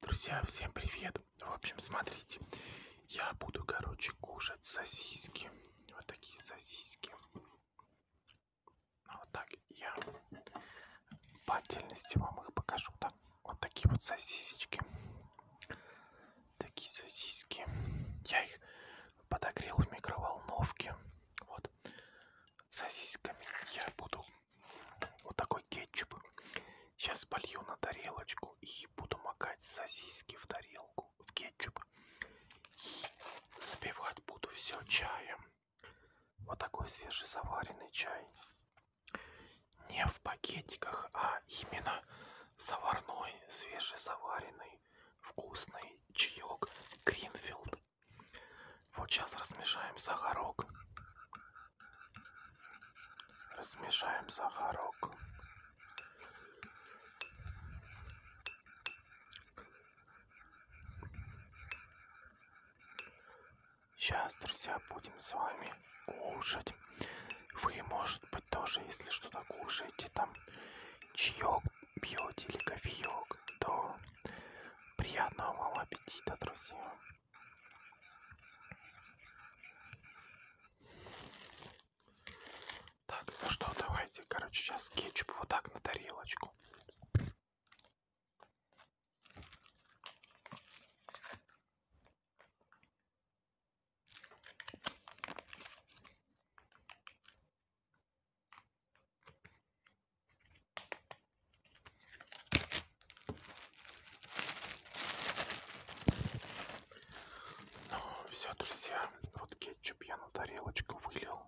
Друзья, всем привет! В общем, смотрите, я буду, короче, кушать сосиски. Вот такие сосиски. Вот так я по отдельности вам их покажу. Так, вот такие вот сосисечки. Такие сосиски. Я их подогрел в микроволновке. Вот сосисками я буду вот такой кетчуп. Сейчас полью на тарелочку и буду макать сосиски в тарелку, в кетчуп. И запивать буду все чаем. Вот такой свежезаваренный чай. Не в пакетиках, а именно заварной, свежезаваренный, вкусный чаек Гринфилд. Вот сейчас размешаем сахарок. Размешаем сахарок. Сейчас, друзья, будем с вами кушать. Вы, может быть, тоже, если что-то кушаете, там чаек пьете или кофеек, то приятного вам аппетита, друзья. Так, ну что, давайте, короче, сейчас кетчуп вот так на тарелочку. Ну, все, друзья, вот кетчуп я на тарелочку вылил.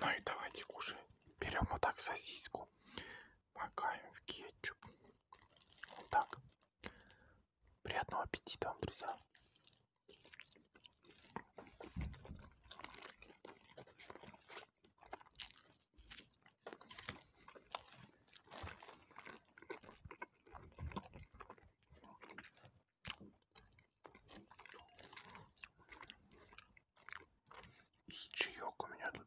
Ну и давайте кушать. Берем вот так сосиску, макаем в кетчуп. Вот так. Приятного аппетита вам, друзья. И чаек у меня тут.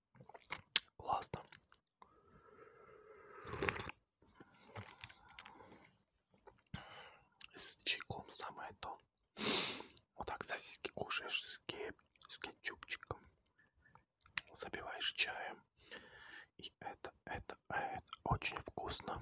Классно. С чайком самое то. Вот так сосиски кушаешь с, кеп... с кетчупчиком. Забиваешь чаем. И это, это, а, это очень вкусно.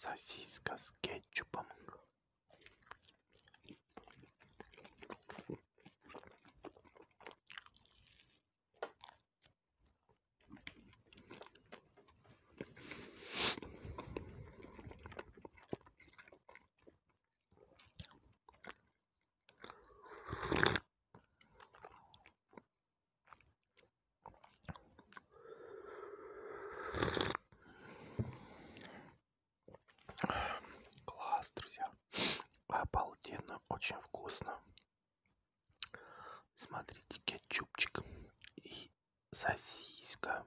Сосиска с кетчупом. Класс, друзья. Обалденно, очень вкусно. Смотрите, кетчупчик и сосиска.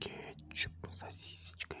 Кетчуп с сосисочкой.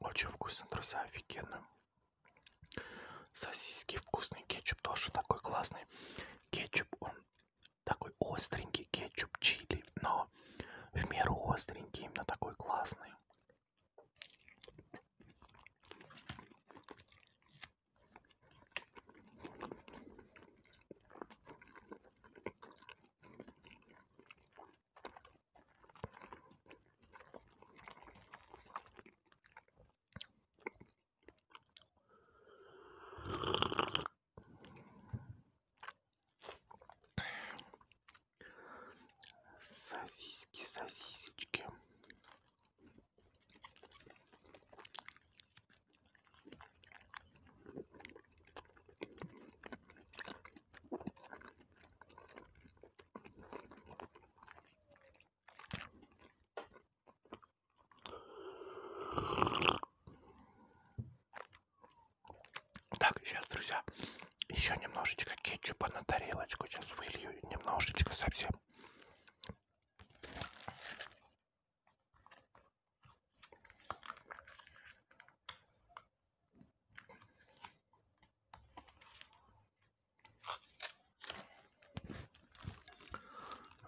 Очень вкусно, друзья, офигенно. Сосиски вкусный, кетчуп тоже такой классный. Кетчуп, он такой остренький, кетчуп чили, но в меру остренький, именно такой классный. Сосиски, сосисочки. Так, сейчас, друзья, еще немножечко кетчупа на тарелочку. Сейчас вылью немножечко совсем.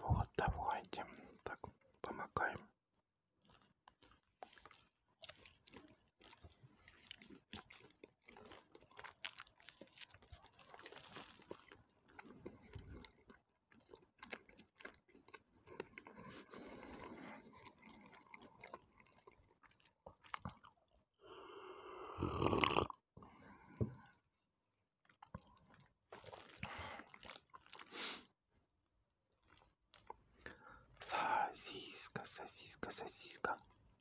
Вот, давайте так помакаем. Сосиска, сосиска, сосиска.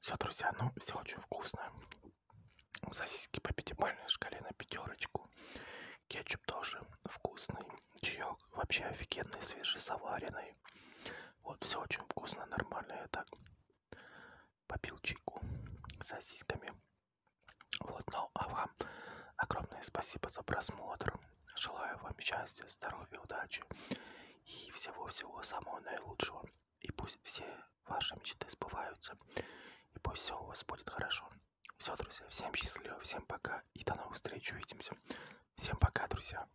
Все, друзья, ну все очень вкусно. Сосиски по пятибалльной шкале на пятерочку. Кетчуп тоже вкусный. Чаек вообще офигенный, свежесоваренный. Вот, все очень вкусно, нормально. Я так попил чайку с сосисками. Вот, ну а вам огромное спасибо за просмотр. Желаю вам счастья, здоровья, удачи и всего-всего самого наилучшего. И пусть все ваши мечты сбываются. И пусть все у вас будет хорошо. Все, друзья, всем счастливо, всем пока и до новых встреч, увидимся. Всем пока, друзья.